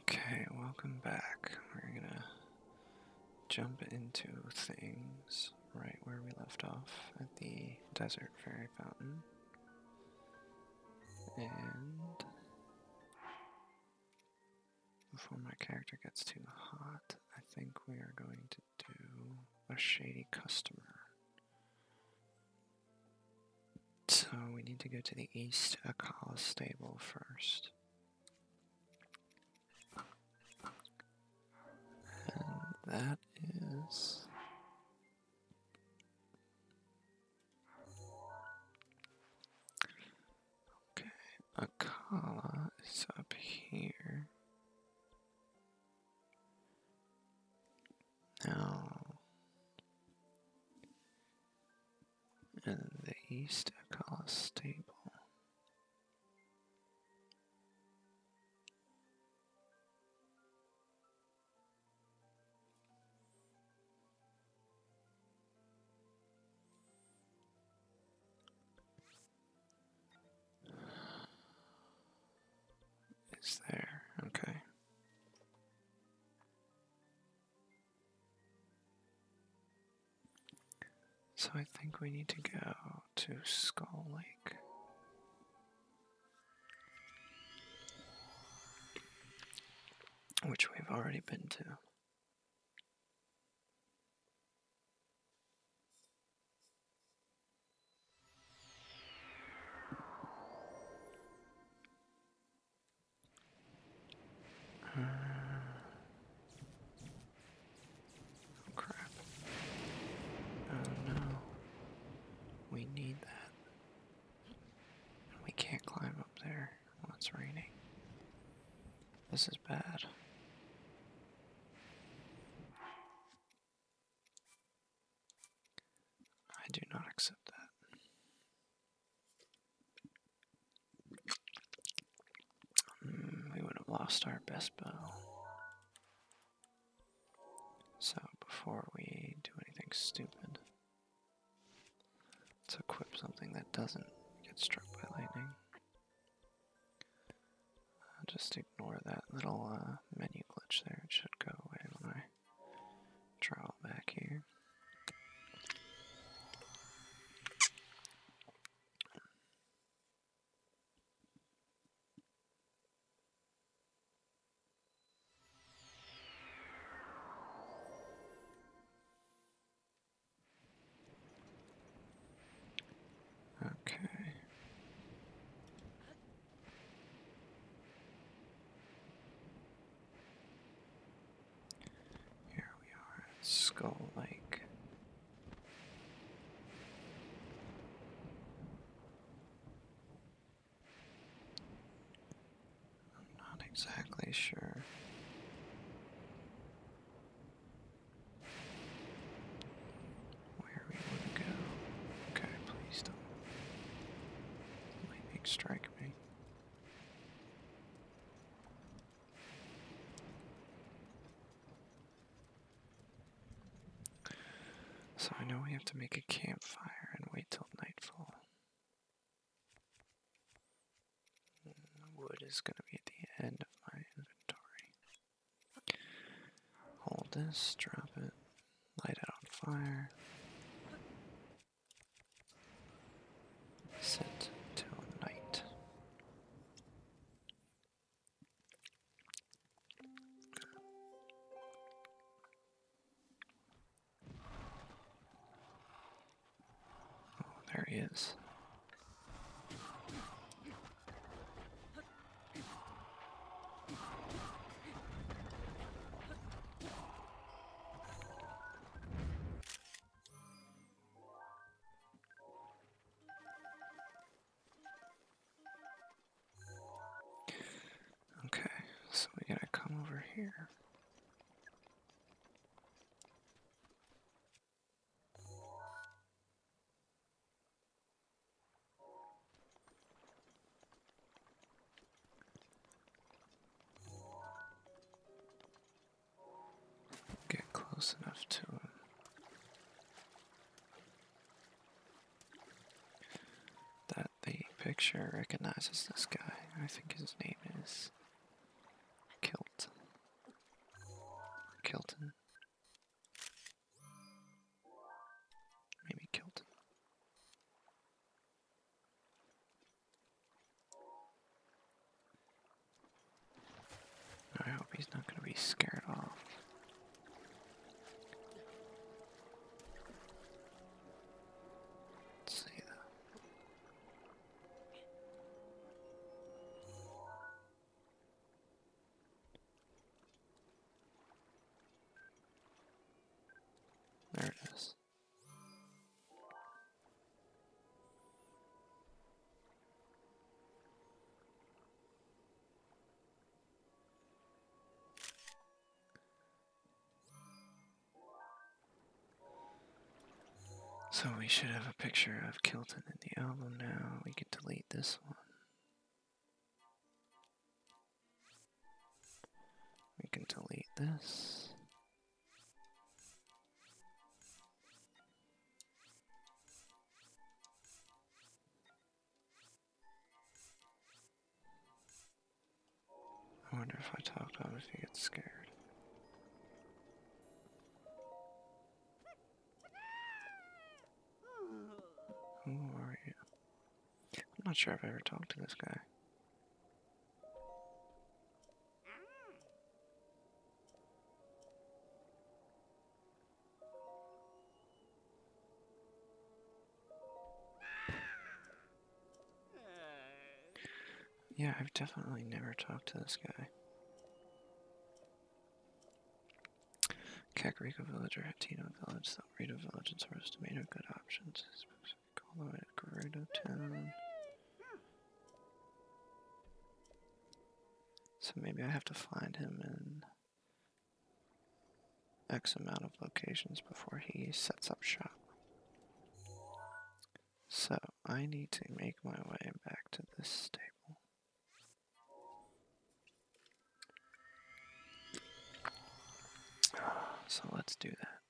Okay, welcome back. We're gonna jump into things right where we left off at the Desert Fairy Fountain. And before my character gets too hot, I think we are going to do a shady customer. So we need to go to the East Akala stable first. And that is... Okay, Akala is up here. Now, and the east a collar stable. Is there okay? So I think we need to go to Skull Lake. Which we've already been to. Uh, oh crap. Oh no. We need that. We can't climb up there when it's raining. This is bad. I do not accept that. Mm, we would have lost our best bow. So, before we do anything stupid, let's equip something that doesn't get struck by lightning. Uh, just ignore that little uh, menu glitch there. It should go away when I Draw back here. Okay. Here we are at Skull Lake. I'm not exactly sure. Where we want to go. Okay, please don't lightning strike me. So I know we have to make a campfire and wait till nightfall. Mm, wood is going to be at the end of my inventory. Hold this, drop it, light it on fire. Set to night. Oh, there he is. Okay, so we gotta come over here. Get close enough to him. That the picture recognizes this guy. I think his name is Kilt, Kilton. Maybe Kilton. I hope he's not going to be scared off. see though. There it is. So we should have a picture of Kilton in the album now. We can delete this one. We can delete this. I wonder if I talk to him if he gets scared. Who are you? I'm not sure I've ever talked to this guy. Yeah, I've definitely never talked to this guy. Kakariko Village or Hatino Village, Rito Village, and source tomato good options. Call it Gerudo Town. So maybe I have to find him in X amount of locations before he sets up shop. So I need to make my way back to this stable. So let's do that.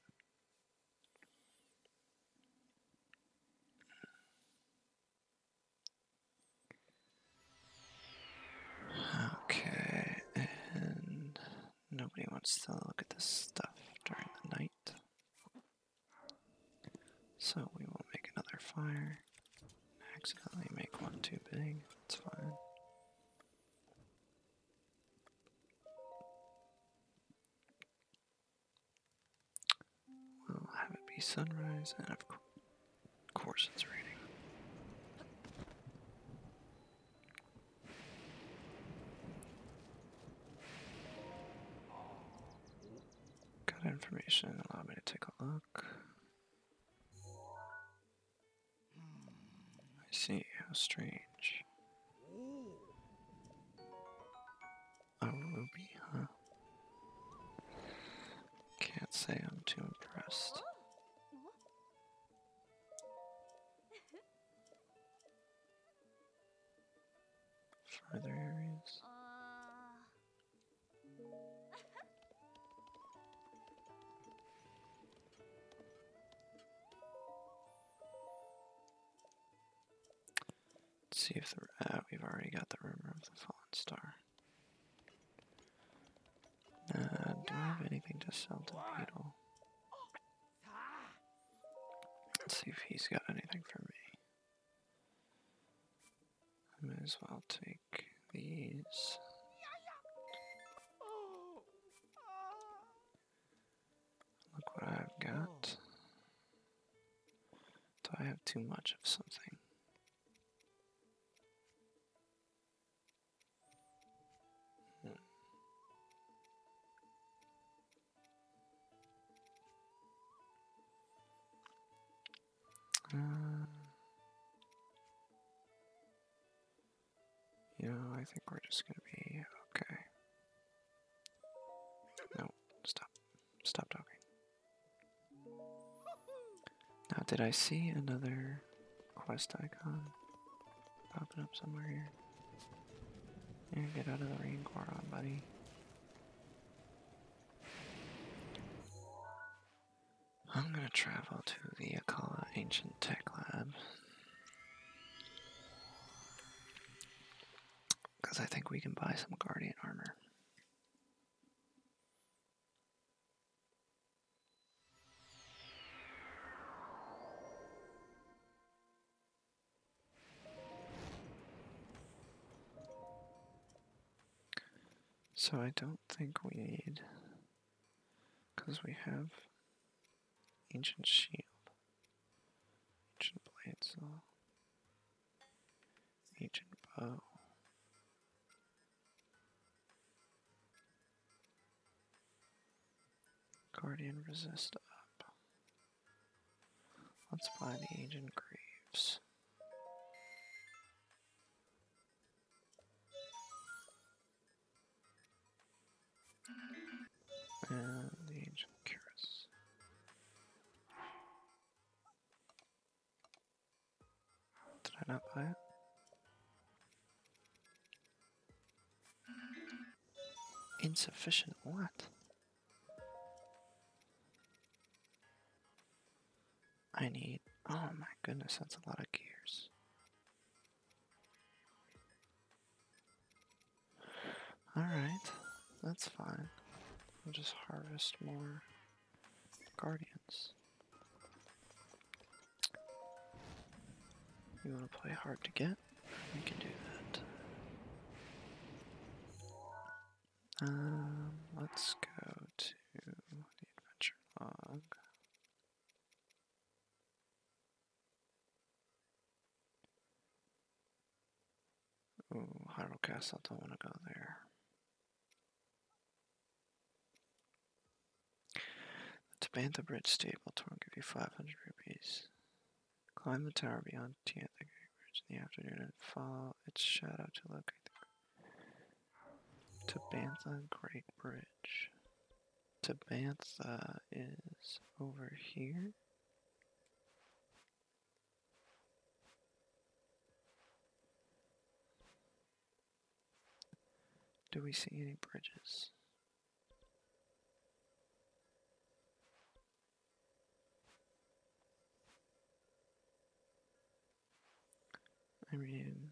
Okay, and nobody wants to look at this stuff during the night. So we will make another fire. accidentally make one too big, thats fine. We'll have it be sunrise, and of course it's raining. Got information, allow me to take a look. I see, how strange. A ruby, huh? Can't say I'm too impressed. Further areas. Let's see if uh, we've already got the rumor of the fallen star. Uh, do I have anything to sell to Beetle? Let's see if he's got anything for me. I may as well take these. Oh, ah. Look what I've got. Do I have too much of something? Hmm. Uh, yeah, I think we're just gonna be okay. No, stop. Stop talking. Now, did I see another quest icon popping up somewhere here? Yeah, get out of the rain core, on buddy. I'm gonna travel to the Akala Ancient Tech Lab because I think we can buy some Guardian armor. So I don't think we need, because we have Ancient shield. Ancient blade saw. Ancient bow. Guardian resist up. Let's buy the ancient graves. And the Ancient Curious. Did I not buy it? Insufficient what? I need, oh my goodness, that's a lot of gears. Alright, that's fine. We'll just harvest more guardians. You want to play hard to get? We can do that. Um, let's go to the adventure log. Ooh, Hyrule Castle, don't want to go there. The Tabantha Bridge Stable Tour give you 500 rupees. Climb the tower beyond Tiantha Bridge in the afternoon and follow its shadow to locate the Tabantha Great Bridge. Sabantha uh, is over here. Do we see any bridges? I mean,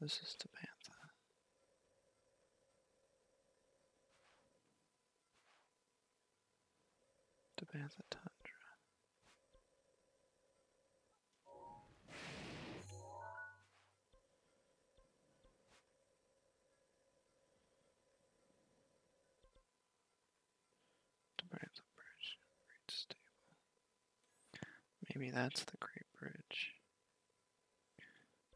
this is the panther. The panther bridge, bridge stable. Maybe that's the Great Bridge.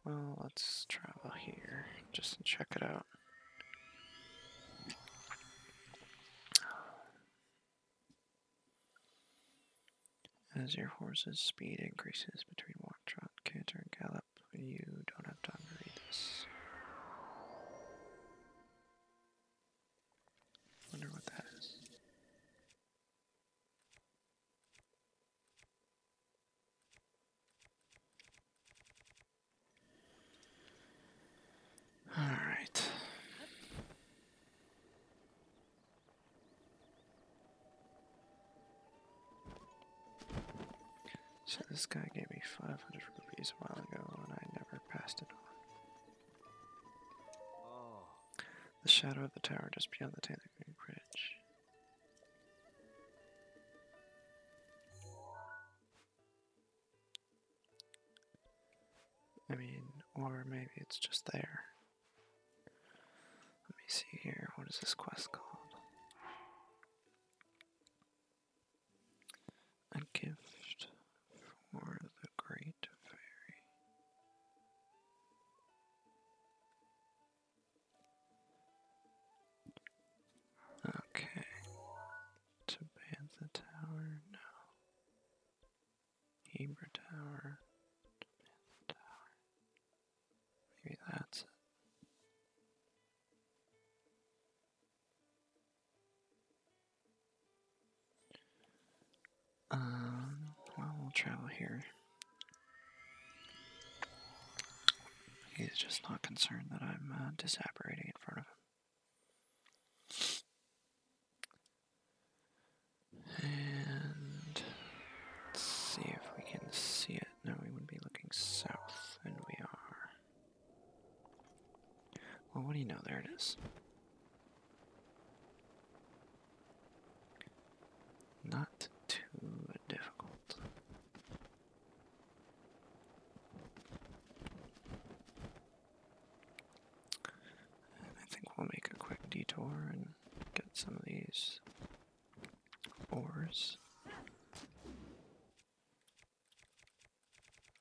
Well, let's travel here just to check it out. As your horse's speed increases between walk, trot, canter, and gallop, you don't have time to read this. Wonder what that is. All right. So this guy gave me 500 rupees a while ago and I never passed it on. Oh. The shadow of the tower just beyond the tangerine Bridge. I mean, or maybe it's just there. Let me see here. What is this quest called? A gift for the great fairy. Okay. To Tower, no. Heber Tower, Tabantha Tower. Maybe that's it. Um, well, we'll travel here. He's just not concerned that I'm uh, disapparating in front of him. And let's see if we can see it. No, we would be looking south, and we are. Well, what do you know? There it is. Not too difficult. I think we'll make a quick detour and get some of these ores.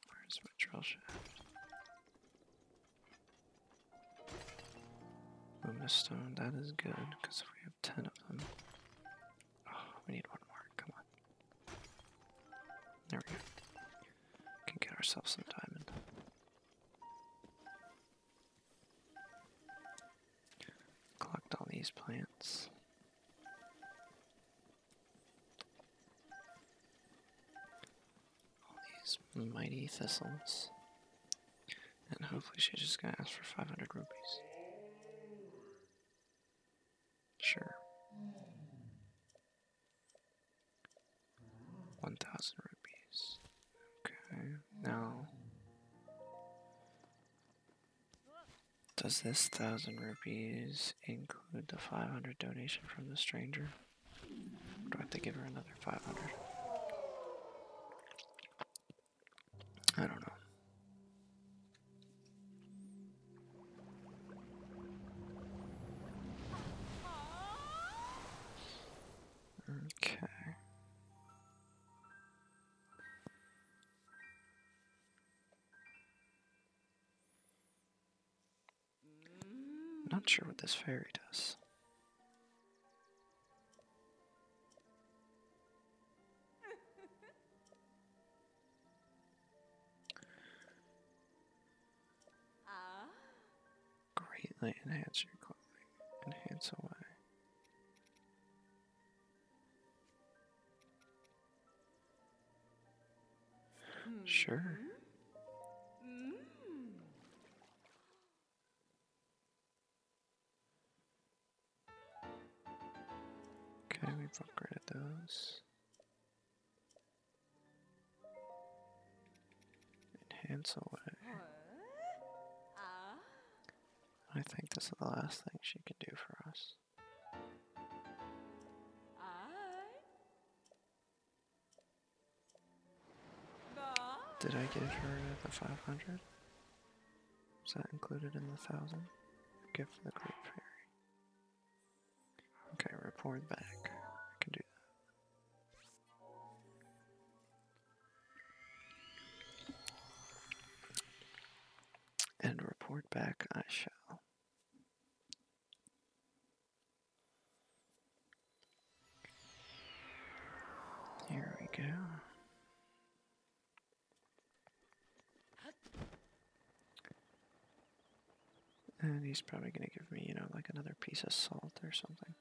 Where's my drill shaft? Lumina stone, that is good, because we have ten of them. Oh, we need one more, come on. There we go. can get ourselves some diamond. Collect all these plants all these mighty thistles. And hopefully she's just gonna ask for 500 rupees. Sure. 1000 rupees. Okay, now. Does this 1000 rupees include the 500 donation from the stranger? Do I have to give her another 500? I don't know. Okay. Not sure what this fairy does. Greatly enhance your clothing. Enhance away. Hmm. Sure. Hmm. Okay, we upgraded those. Enhance away. I think this is the last thing she can do for us. Did I give her the 500? Is that included in the 1000? Give the group? fairy. Okay, report back. I can do that. And report back I shall. Here we go. And uh, he's probably going to give me, you know, like another piece of salt or something.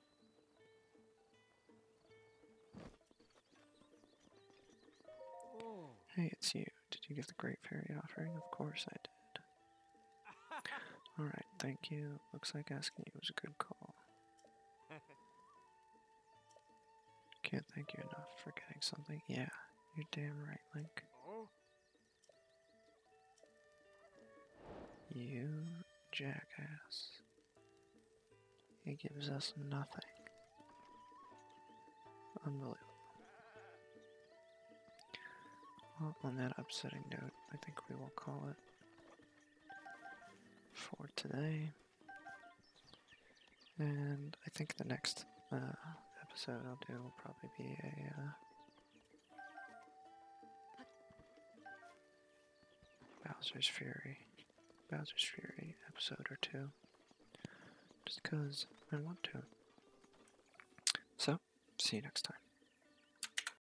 Hey, it's you. Did you get the Great Fairy offering? Of course I did. Alright, thank you. Looks like asking you was a good call. Can't thank you enough for getting something. Yeah, you're damn right, Link. You jackass. He gives us nothing. Unbelievable. Well, on that upsetting note, I think we will call it for today. And I think the next uh, episode I'll do will probably be a. Uh, Bowser's Fury, Bowser's Fury episode or two, just because I want to. So, see you next time.